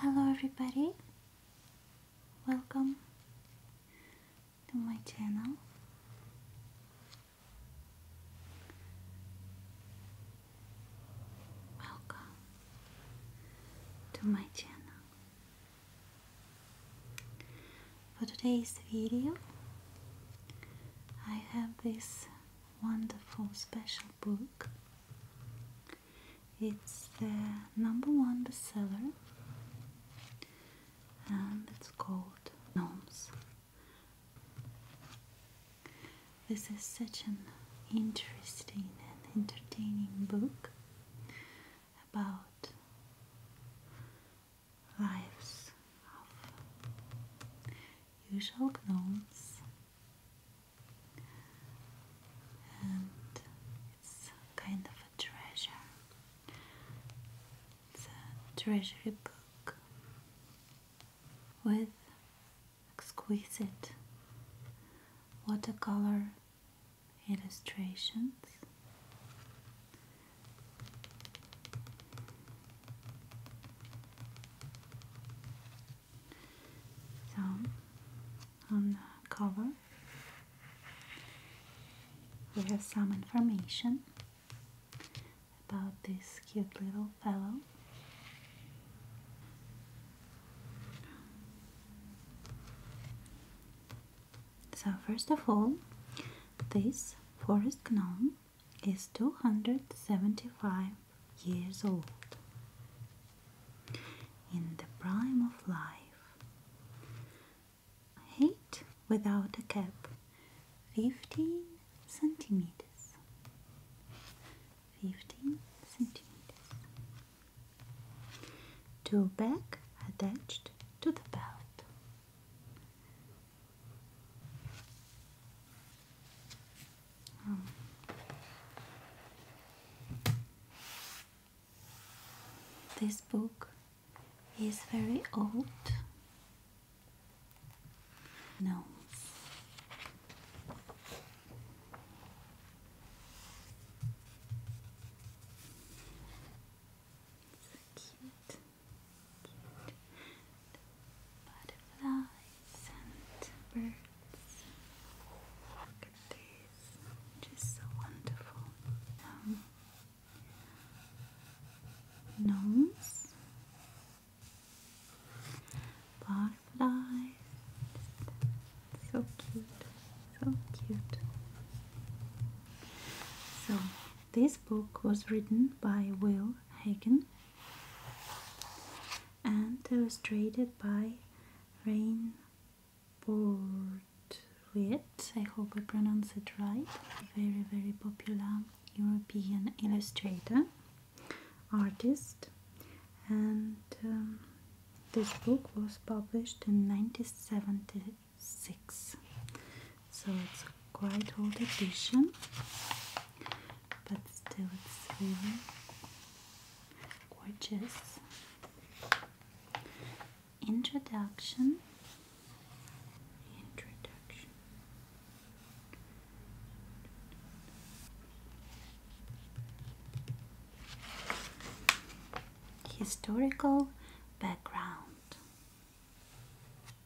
Hello, everybody, welcome to my channel. Welcome to my channel. For today's video, I have this wonderful special book. It's the number one bestseller and it's called Gnomes. This is such an interesting and entertaining book about lives of usual gnomes and it's kind of a treasure. It's a treasury book with exquisite watercolor illustrations so, on the cover, we have some information about this cute little fellow. So, first of all, this forest gnome is 275 years old. In the prime of life. Height without a cap 15 centimeters. 15 centimeters. Two back attached to the belt. Oh. This book is very old. No. So cute butterflies and birds. Look just so wonderful. Um, butterflies, so cute, so cute. So this book was written by Will Hagen and illustrated by Rain Portwit. I hope I pronounce it right. Very, very popular European illustrator, artist, and um, this book was published in 1976 so it's quite old edition but still it's really gorgeous introduction introduction historical background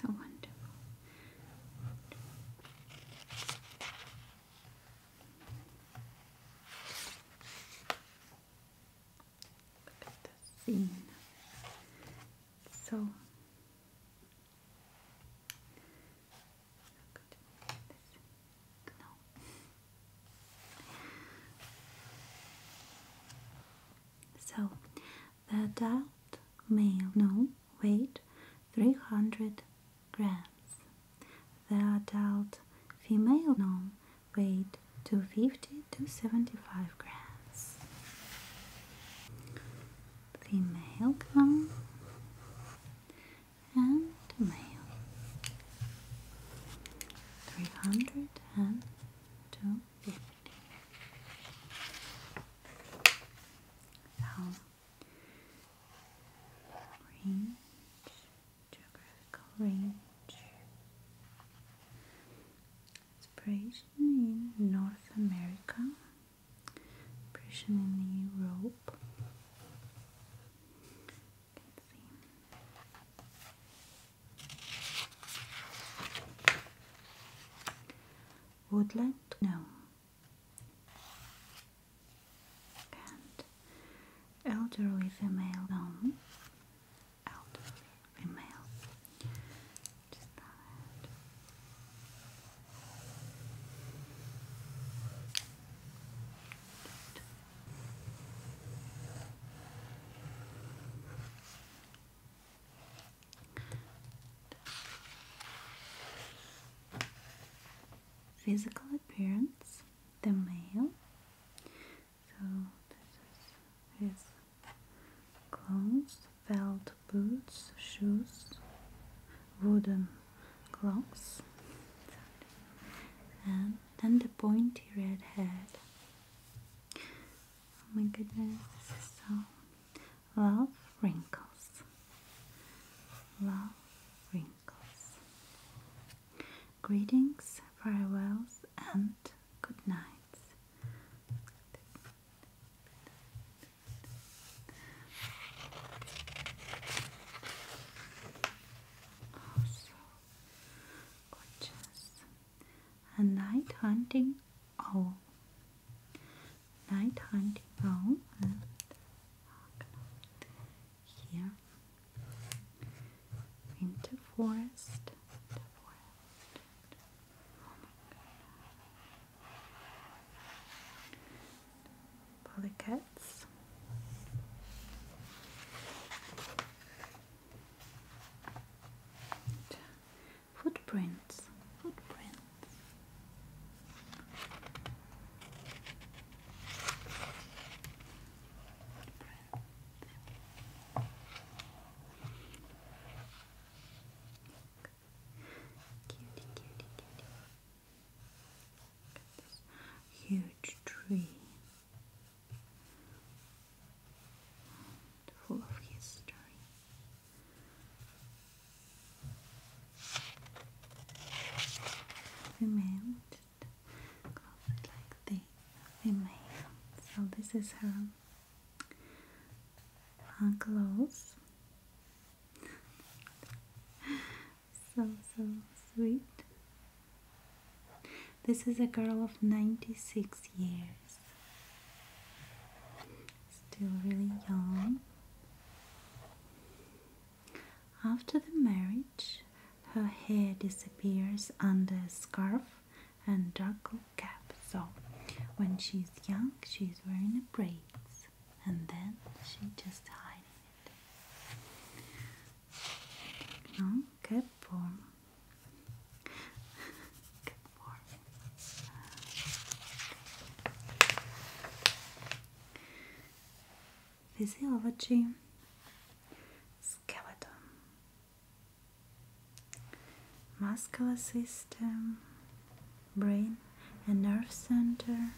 So wonderful. Look at the scene. So so the adult male, no, weighed 300 grams. The adult female gnome weighed 250 to 75 grams. Female gnome and male. Three hundred and two fifty. So range, geographical range. Inspiration in North America. Inspiration in Europe. Woodland? No. And elderly female? No. Um, elderly female. Just that. Physical appearance, the male. So this is his clothes, felt boots, shoes, wooden gloss and then the pointy red head oh my goodness this is so love wrinkles love wrinkles greetings farewells and good nights also gorgeous. A night hunting owl. Night hunting owl. And here. Winter forest. Oh Polycats. Footprints. Footprints. This huge tree full of history. We made close like this. We made. So this is her clothes so so sweet. This is a girl of 96 years, still really young. After the marriage, her hair disappears under a scarf and dark cap. So, when she's young, she's wearing a braids and then she just hides it. No, che buono. che Physiology skeleton muscular system brain and nerve center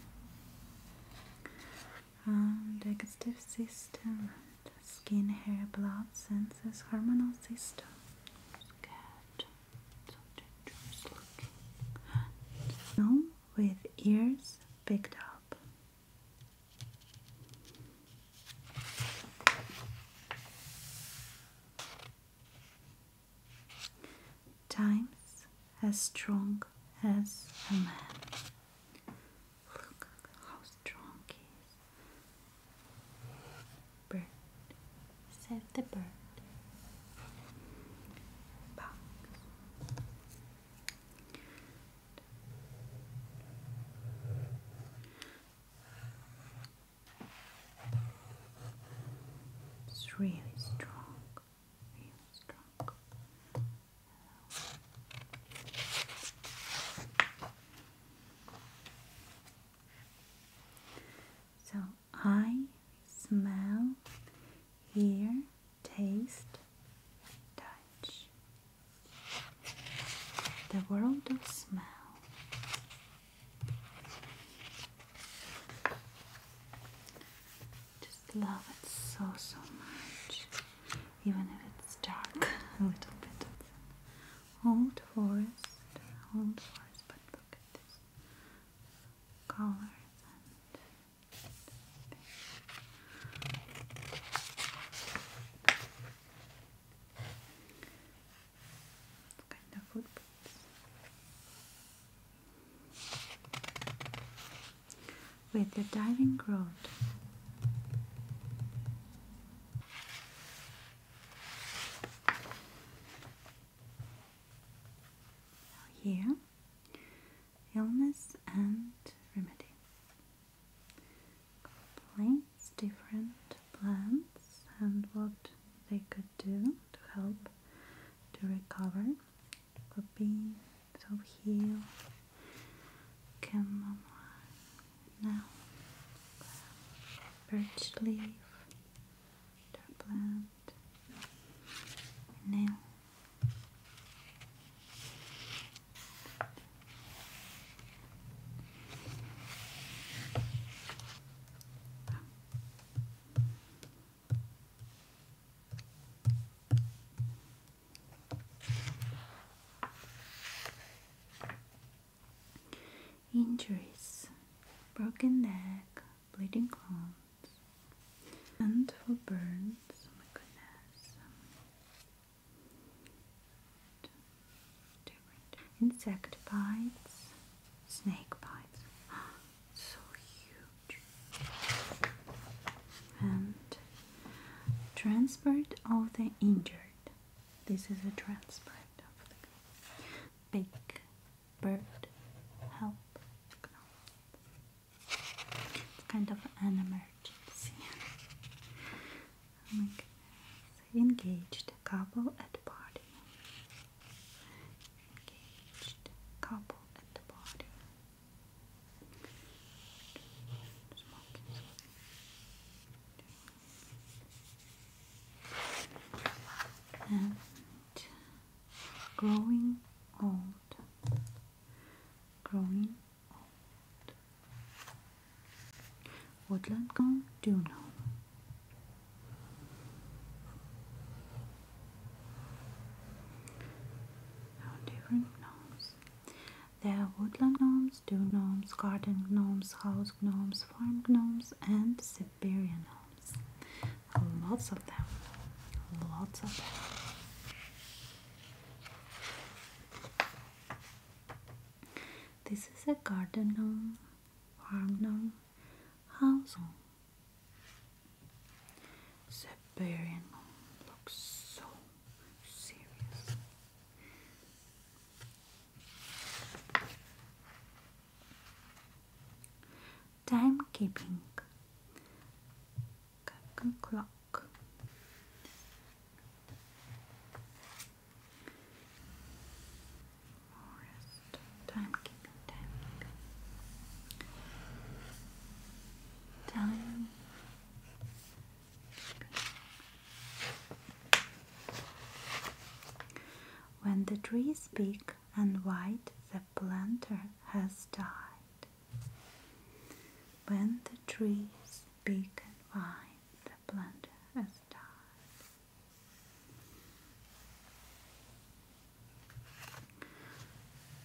um, digestive system, skin, hair, blood, senses, hormonal system. No, with ears picked up. Times as strong as a man. Look how strong he is. Bird, save the bird. Bugs. It's really strong. So I smell, hear, taste, touch. The world of smell love it so, so much. Even if it's dark a little bit. old forest, old forest, but look at this. Colors and... kind of footprints? with the diving rod. Here, illness and remedy. Complaints, different plants, and what they could do to help to recover Babine, Top Hill, Chamomile, now Birch Leaf, Dark Plant, Nail. Injuries, broken neck, bleeding palms, and for burns. Oh Insect bites, snake bites. so huge and transport of the injured this is a transport of the big bird help it's kind of an emergency oh engaged couple at party engaged couple at the party and growing old growing old woodland gone do know different gnomes. There are woodland gnomes, dew gnomes, garden gnomes, house gnomes, farm gnomes, and Siberian gnomes. Lots of them. Lots of them. This is a garden gnome, farm gnome, house gnome. Siberian looks so serious. Timekeeping. Captain Clock. Timekeeping, timekeeping. When the trees is big and white, the planter has died. When the trees is big and white, the planter has died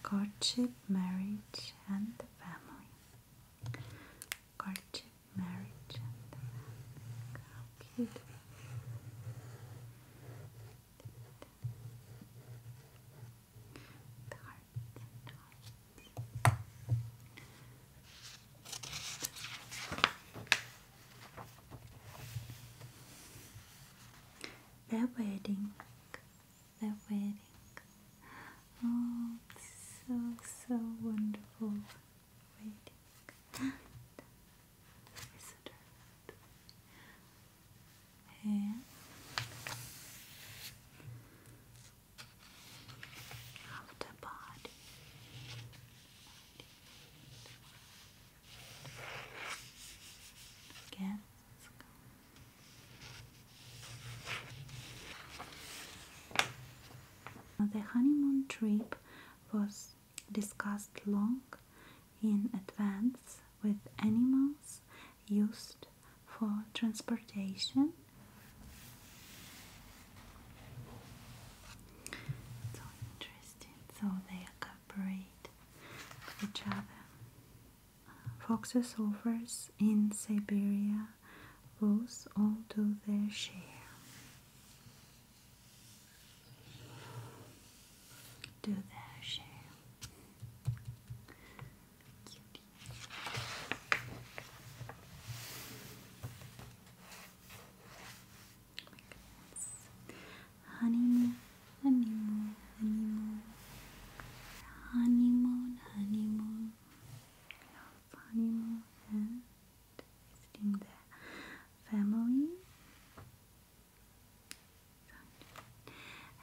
courtship, marriage, and the family. Courtship, marriage, and family. the wedding the wedding. Oh, so so wonderful wedding. after body. Again. The honeymoon trip was discussed long in advance with animals used for transportation. So interesting, so they cooperate each other foxes, wolves in Siberia, wolves all do their share. Do their share. Honey honeymoon, honeymoon, honeymoon, honeymoon, love honeymoon, and visiting the family.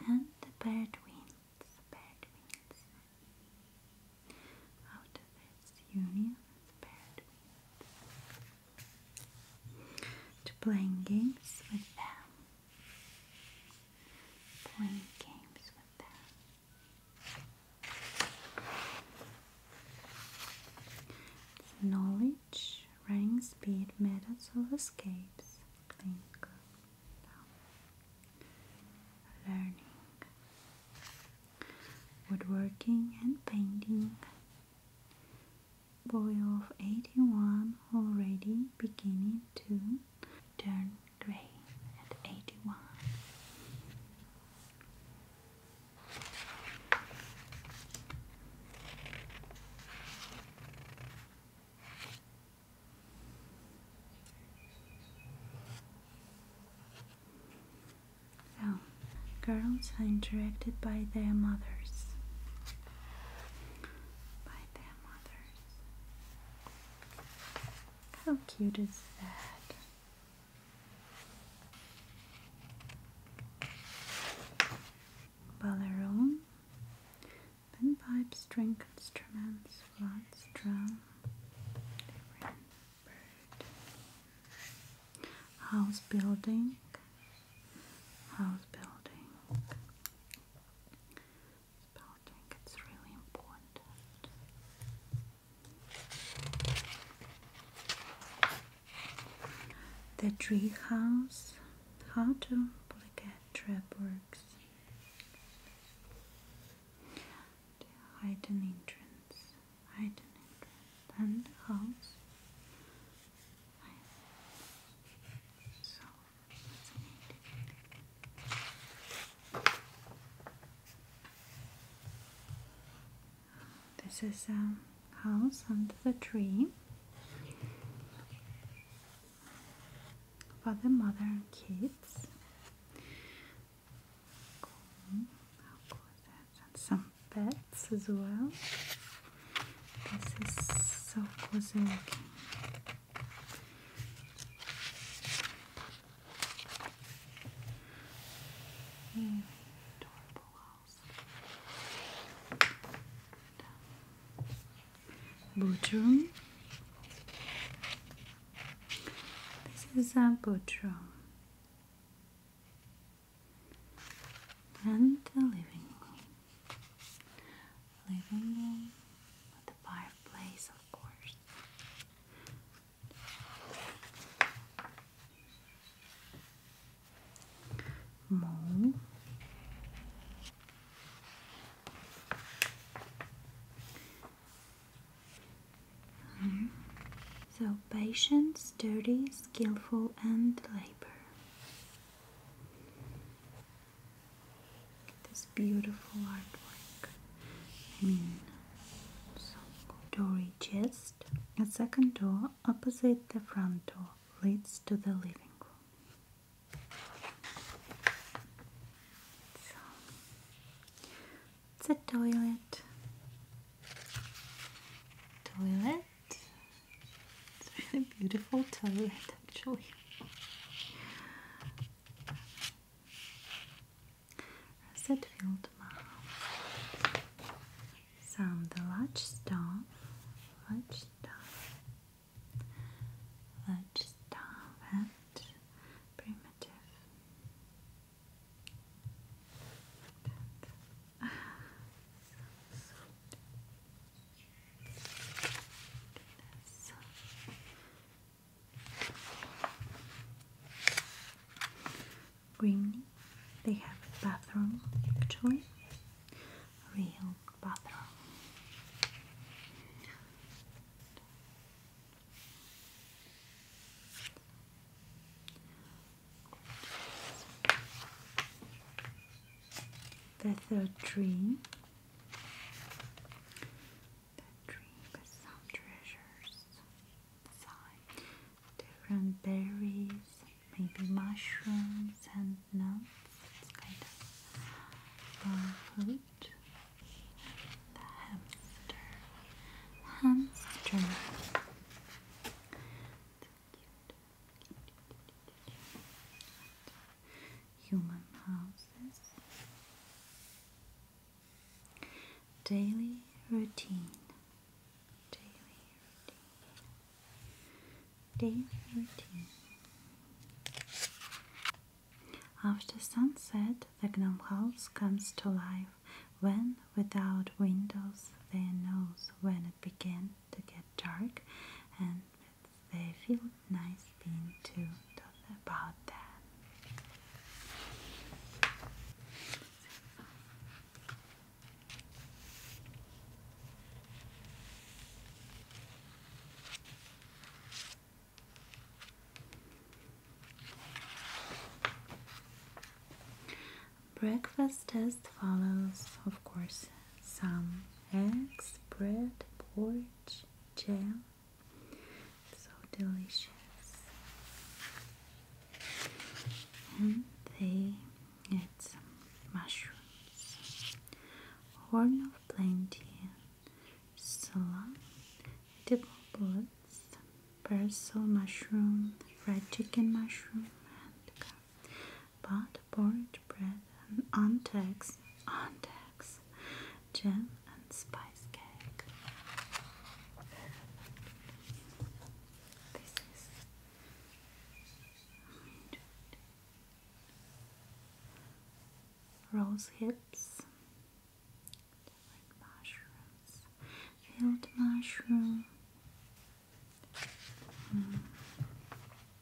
And the bird wins, bird wins. Out union, the bird wins. To playing games with them playing games with them. knowledge, rank, speed, methods of escapes, think, learning, woodworking and painting boy of 81 already beginning to turn gray at 81. So, girls are directed by their mothers. By their mothers. How cute is that? Balaron, Pinpipe, string instruments, flutes, drum, different bird, house building, house building. Building, it's really important. The tree house, how to get trap works. The hidden entrance, hidden entrance, and house. So this is a um, house under the tree for the mother and kids. Cool. And some pets as well. This is so cozy adorable house. Boot This is a boot And the living room living room the fireplace, of course. Mole. So patient, sturdy, skillful, and labor. This beautiful artwork. I mean, so chest. A second door opposite the front door leads to the living room. it's a toilet. Toilet it's really beautiful toilet, actually. Set field Some um, the large stuff, large stuff, large stuff and primitive. And so this. they have a bathroom actually, real bathroom. The third tree the dream some treasures inside. Different berries, maybe mushrooms and nuts. It's kind of uh, food. The hamster. Hamster. It's cute. Human houses. Daily routine. Daily routine. Daily routine. After sunset, the gnome house comes to life when, without windows, they know when it began to get dark and they feel nice being too. talk about that. Breakfast test follows, of course, some eggs, bread, porridge, jam. So delicious. And they had some mushrooms, horn of plenty, salad, edible bullets, basil mushroom, fried chicken mushroom, and but porridge, bread, and ontex, ontex, jam and spice cake. This is rose hips, different mushrooms, field mushroom. Mm.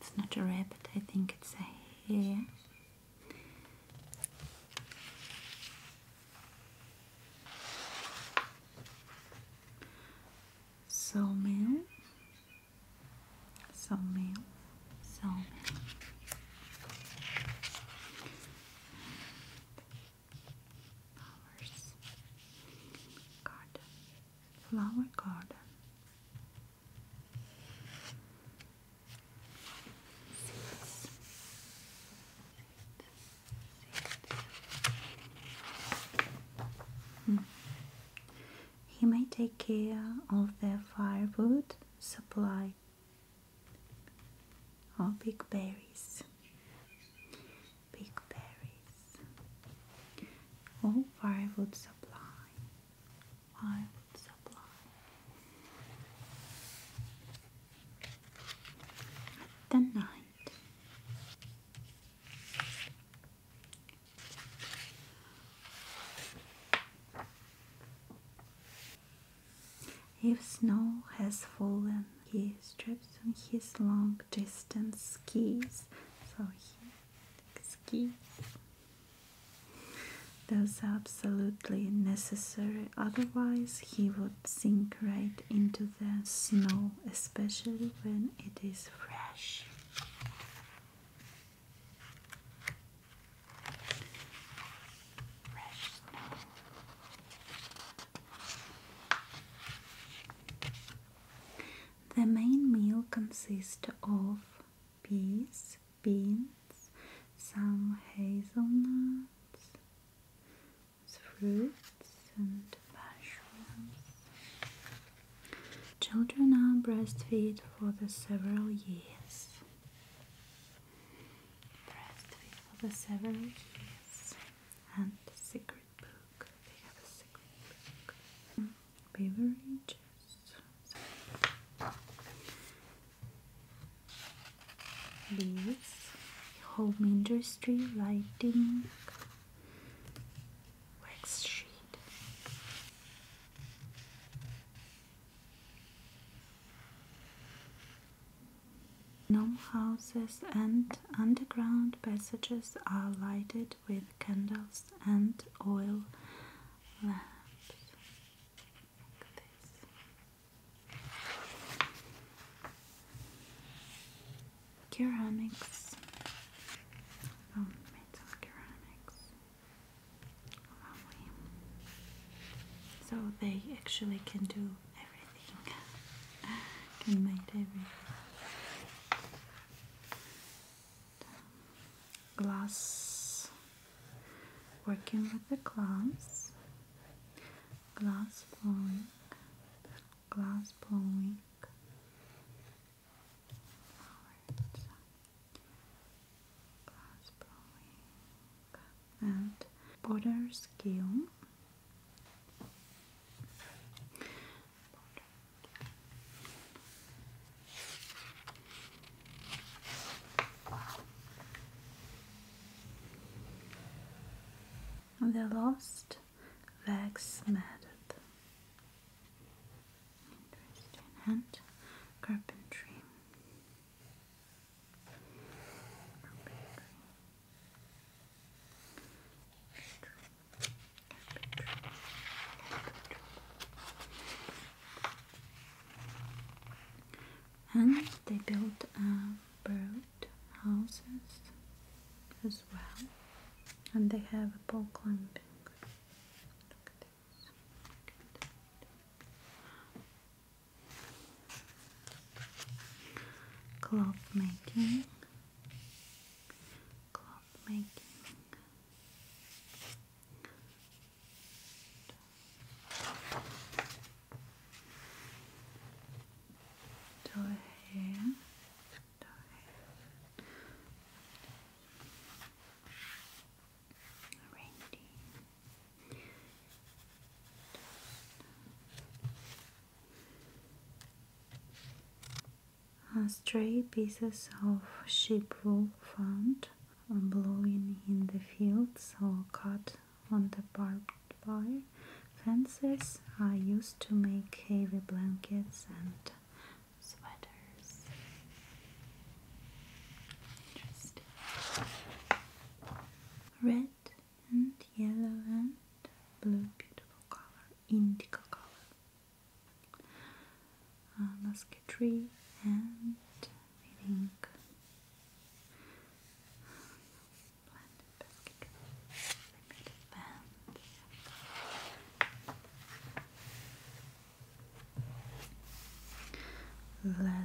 It's not a rabbit, I think it's a hare. Sawmill, sawmill, sawmill. Flowers, garden, flower garden. Hmm. He may take care of the firewood supply or big berries. Big berries. or firewood supply. I would supply. The night. If snow has fallen, he strips on his long distance skis. So he skis. That's absolutely necessary, otherwise, he would sink right into the snow, especially when it is fresh. The main meal consists of peas, beans, some hazelnuts, fruits, and mushrooms. Children are breastfed for the several years. Breastfed for the several years. And the secret book beverages. These home industry lighting wax sheet. Gnome houses and underground passages are lighted with candles and oil lamps. Ceramics. Oh, ceramics. So they actually can do everything. can make everything glass working with the glass glass blowing glass blowing right. glass blowing and border skill the last wax method. Interesting hand Carpentry and they built uh, bird houses as well and they have a pole climbing look cloth making cloth making Toe hair. Toe stray pieces of sheep wool found blowing in the fields or cut on the barbed wire fences I used to make heavy blankets and sweaters. Interesting. Red and yellow and blue, beautiful color, indigo color uh, musketry and I think Leather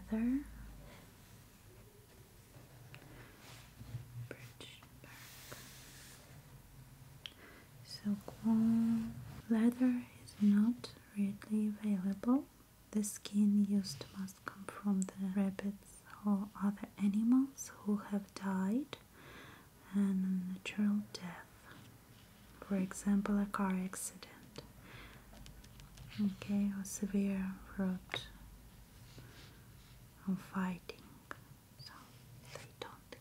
Bridge so Silkworm leather is not readily available. The skin used must come from the rabbits or other animals who have died and natural death, for example, a car accident, okay, or severe road or fighting. So they don't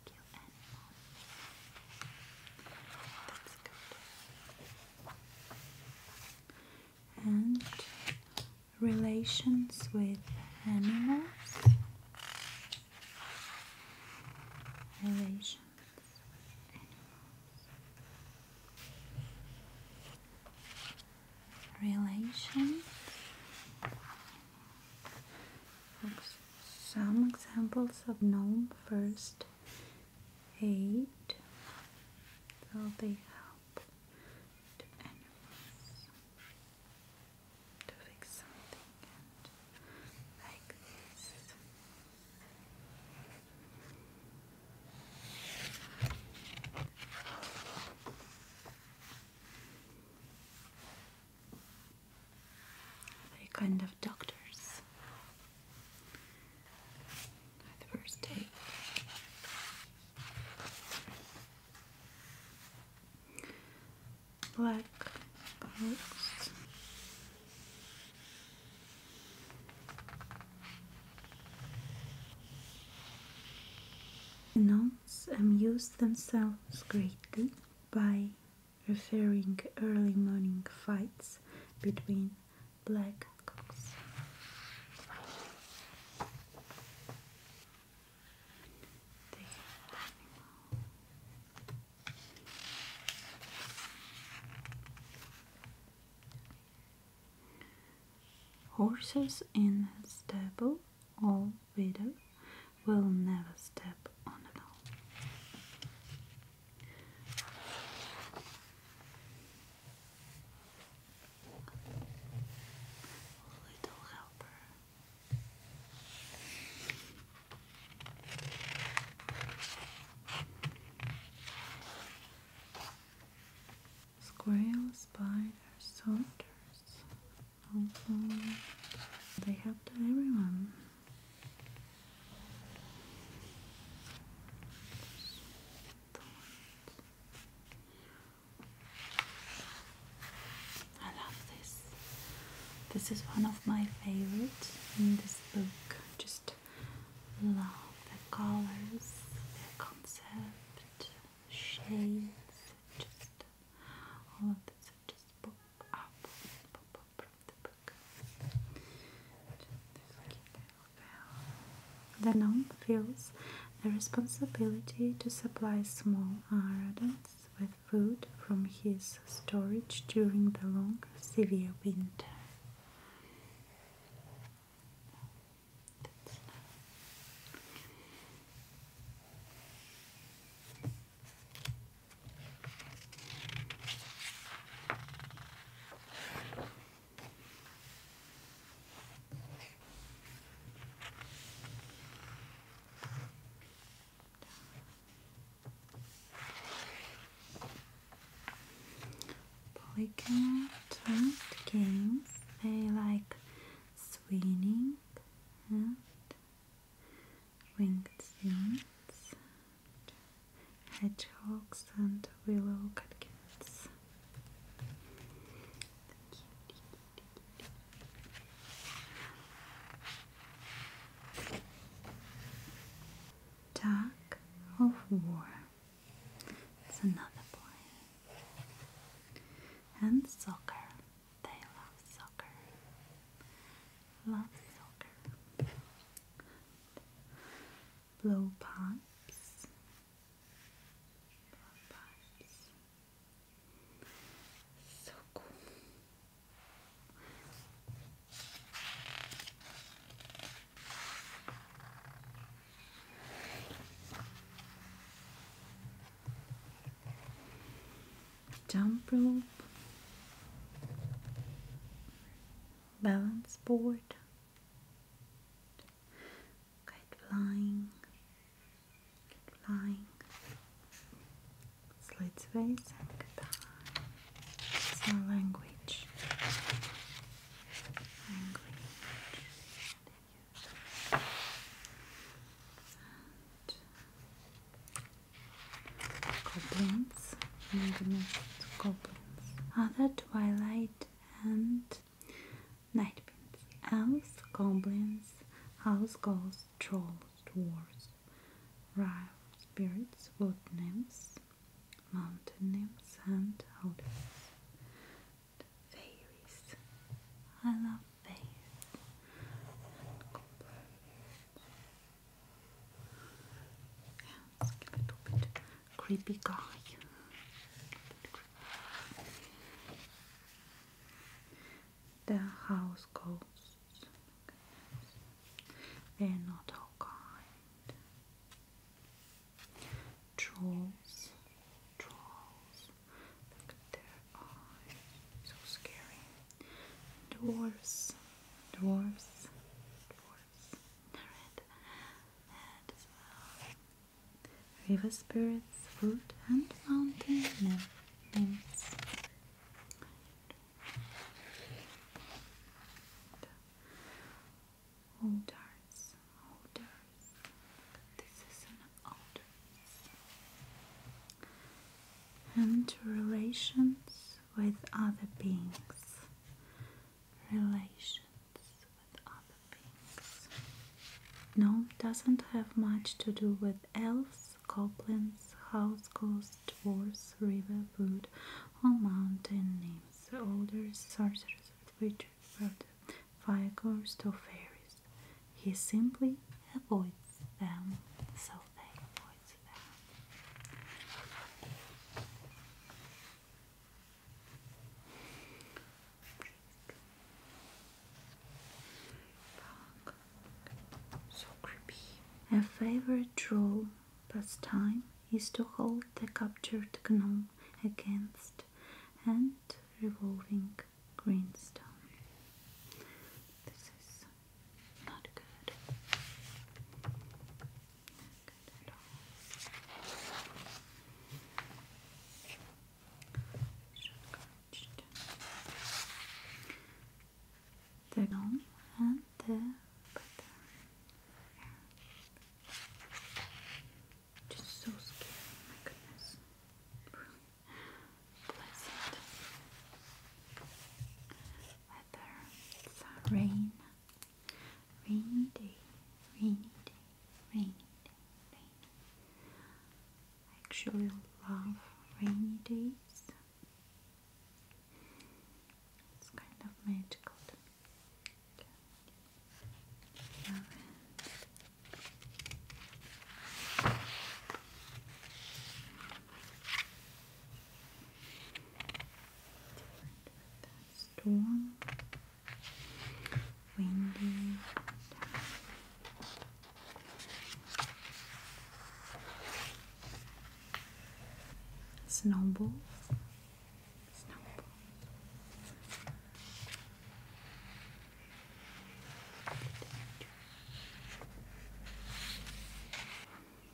and relations with animals. Relations animals. Relations some examples of known first aid. will they help the animals to fix something and like this. They kind of doctors the first day. Black nuns amuse themselves greatly by referring early morning fights between black cocks. Horses in stable all weather will never step on a Little helper. Squirrel, spider, soldiers. Also, oh, they helped everyone. I love this. This is one of my favorites in this book. Just love the colors, the concept, shades, just all of this. Just pop up, the gnome feels the responsibility to supply small rodents with food from his storage during the long, severe winter. Polycat games, they like swinging and winged units, hedgehogs, and willow catkins. Tug of War. It's another boy. And soccer. They love soccer love filter, blowpipes, blowpipes, so cool jump rope, balance board, kite flying, flying, slit space guitar. language, language, and goblins. Oh my Other twilight and night pins. Elves, goblins, house ghosts, trolls, dwarves, rye spirits, wood nymphs, mountain nymphs, and odors. Fairies. I love fairies let's give it a bit creepy guy. The house ghosts. They're not all kind. Trolls, trolls. Look at their eyes. So scary. Dwarfs, dwarfs, dwarfs, red, and River spirits, food, and mountain names. Alders, alders. This is an alders. And relations with other beings, relations with other beings. Gnome doesn't have much to do with elves, goblins, house ghosts, dwarves, river, wood, or mountain names, elders, sorcerers, witches, fire ghosts, or fairies. He simply avoids them, so they avoid. Her favorite troll pastime is to hold the captured gnome against and revolving greenstone. Not good. good at all. Should the long and the Just so scary, my goodness. Bless it's a rain. Rainy day. Rainy day. Rainy day. Rainy. actually love rainy days. It's kind of magical Different storm. Windy. Snowball. Snowball.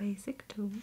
Basic tools.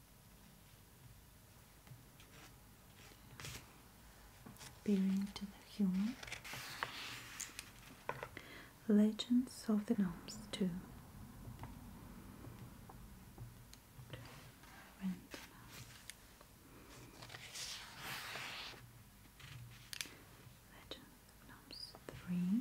Bearing to the human. Legends of the Gnomes too. Legends of three.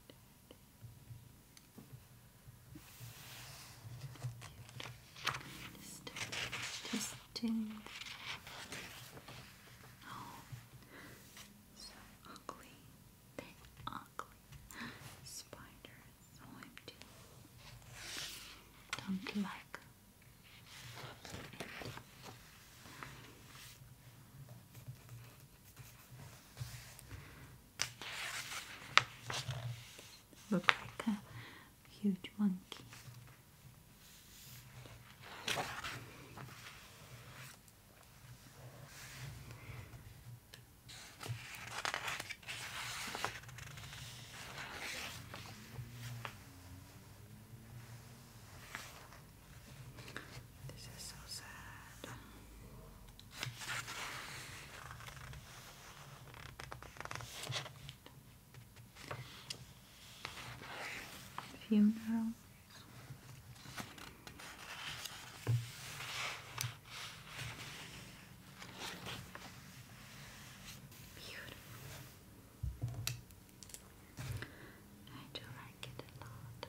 Disgusting. Oh, so ugly. They ugly spiders. OMG. Oh, don't like. Look like a huge monkey. This is so sad. Funerals. Beautiful. I do like it a lot.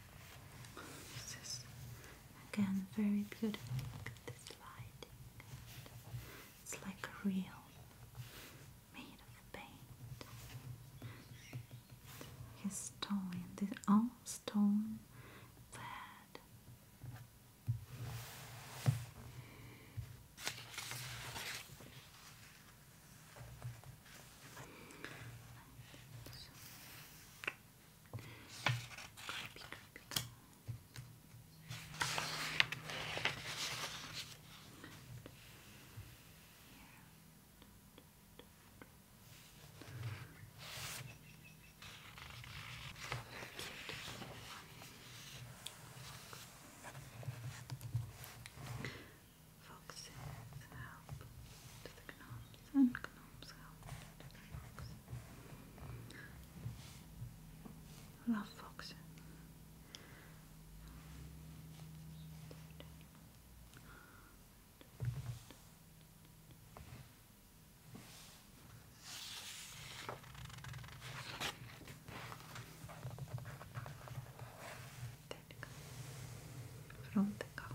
This is again very beautiful. Look at this lighting. It's like a made of paint. His stone, this all stone bed creepy, creepy help to the gnomes and Gnome's House. Fox. Love Fox. From the cover.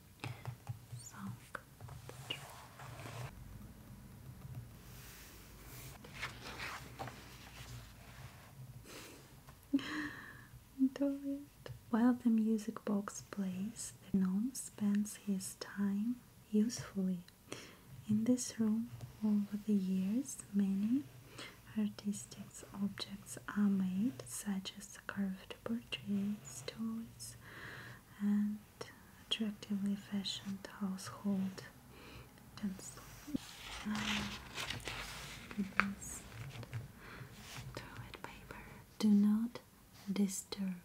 While the music box plays, the gnome spends his time usefully. In this room, over the years, many artistic objects are made, such as carved portraits, toys, and attractively fashioned household utensil. Toilet paper. Do not disturb.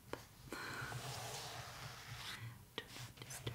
Do not disturb.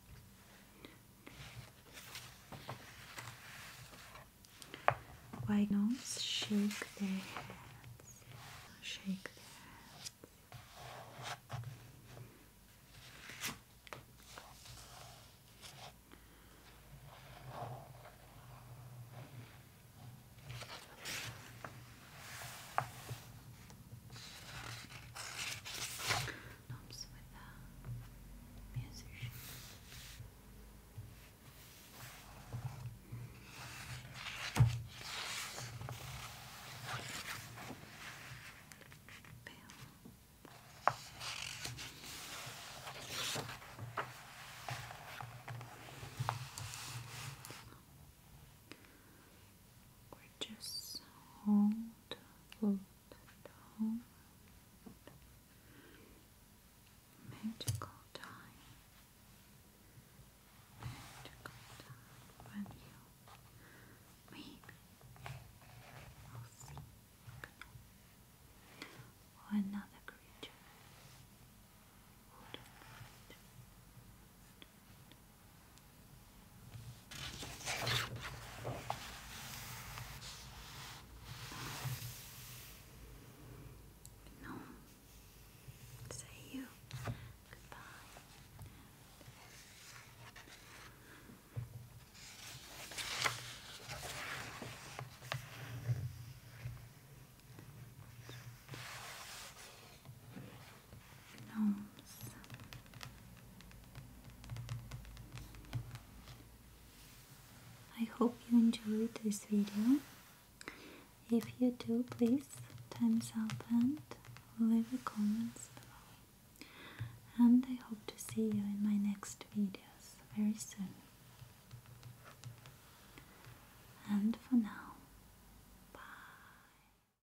Why gnomes shake their hands? Shake their hands. Knobs with a musician. Bell. Gorgeous. Hold, hold, hold. Magical time. Magical time when you maybe will see another creature. No. Say you. Goodbye. I hope you enjoyed this video. If you do, please thumbs up and leave a comment below. And I hope to see you in my next videos very soon. And for now, bye.